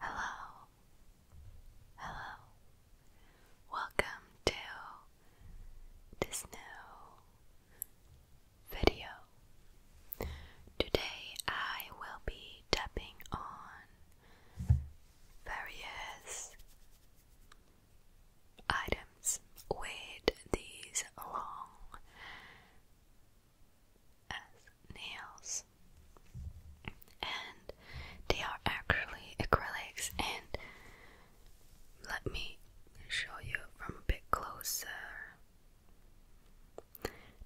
Hello, hello, welcome to this new video. Today I will be tapping on various items with these long as nails, and they are actually acrylics. And let me show you from a bit closer.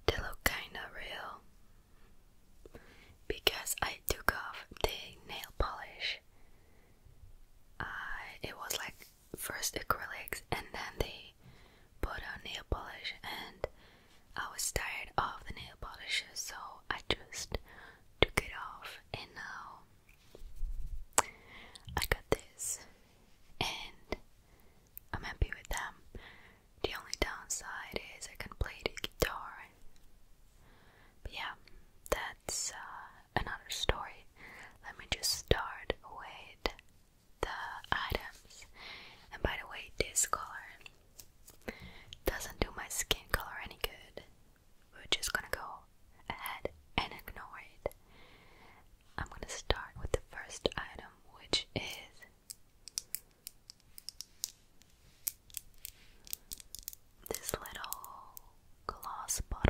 They look kind of real, because I took off the nail polish. it was like first acrylics and then they put on nail polish, and I was tired of the nail polish, so I just took it off, and now I got this, and I'm happy with them. The only downside is I can not play the guitar yeah, that's uh, another story. Let me just start with the items. And by the way, this color doesn't do my skin color any good. We're just gonna go ahead and ignore it. I'm gonna start with the first item, which is this little glass bottle.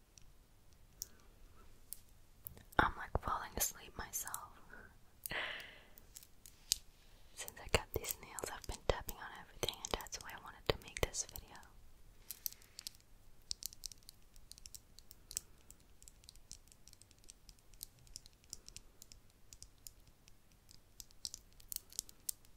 I'm like falling asleep myself. Since I got these nails, I've been tapping on everything, and that's why I wanted to make this video.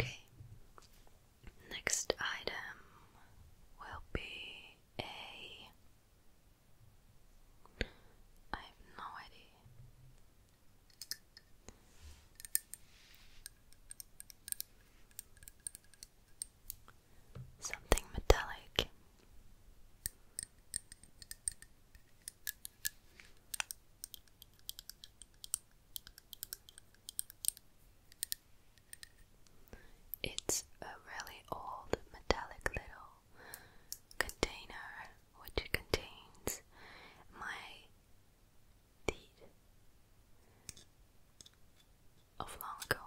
Okay, next item will be a I have no idea. Something metallic. It's a really old metallic little container which contains my deed of long ago.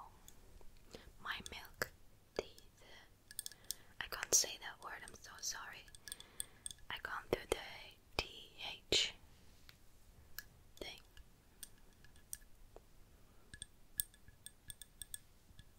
My milk teeth. I can't say that word, I'm so sorry. I can't do the TH thing.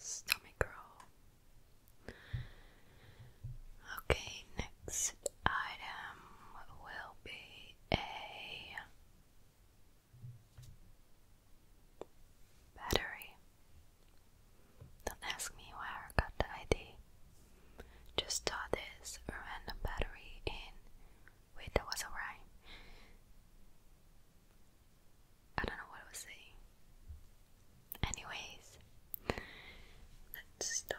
Stomach roll. Okay, next item will be a Battery. Don't ask me where I got the idea. Just saw this random battery in. Wait, that was a rhyme. I don't know what I was saying. Anyways, let's start.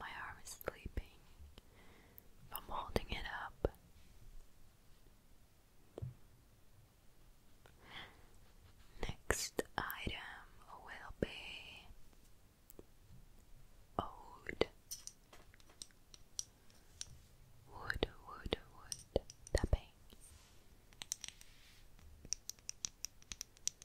My arm is sleeping from holding it up. Next item will be old wood, wood, wood tapping.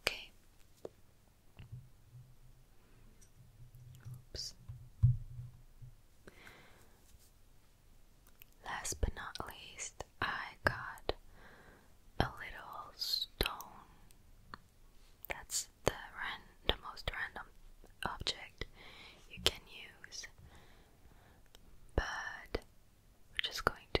Okay. Last but not least, I got a little stone. That's the ran the most random object you can use. But we're just going to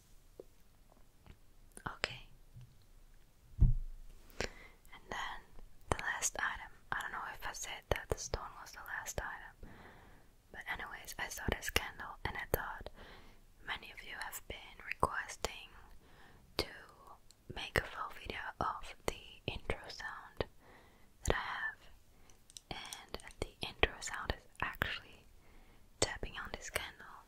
Okay. And then the last item. I don't know if I said that the stone was the last item. But anyways, I saw this candle and I thought many of you have been requesting to make a full video of the intro sound that I have. And the intro sound is actually tapping on this candle.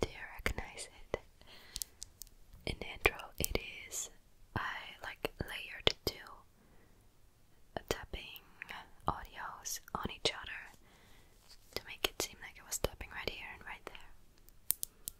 Do you recognize it? In intro, it is I like layered two tapping audios on each other to make it seem like it was tapping right here and right there.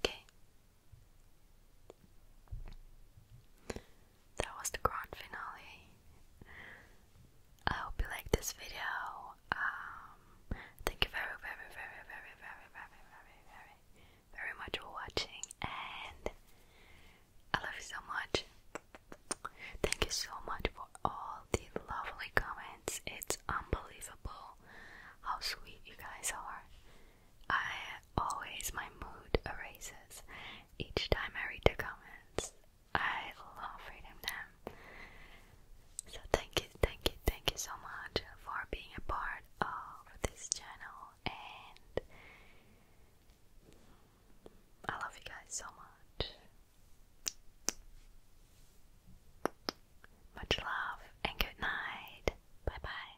Okay. That was the grand finale. I hope you liked this video. Um, thank you very, very, very, very, very, very, very, very, very much for watching and I love you so much. Thank you so much for all these lovely comments. It's unbelievable how sweet you guys are. I always my mood erases each time I read the comments. I love reading them. So thank you, thank you, thank you so much for being a part of this channel and I love you guys so much. Much love and good night. Bye bye.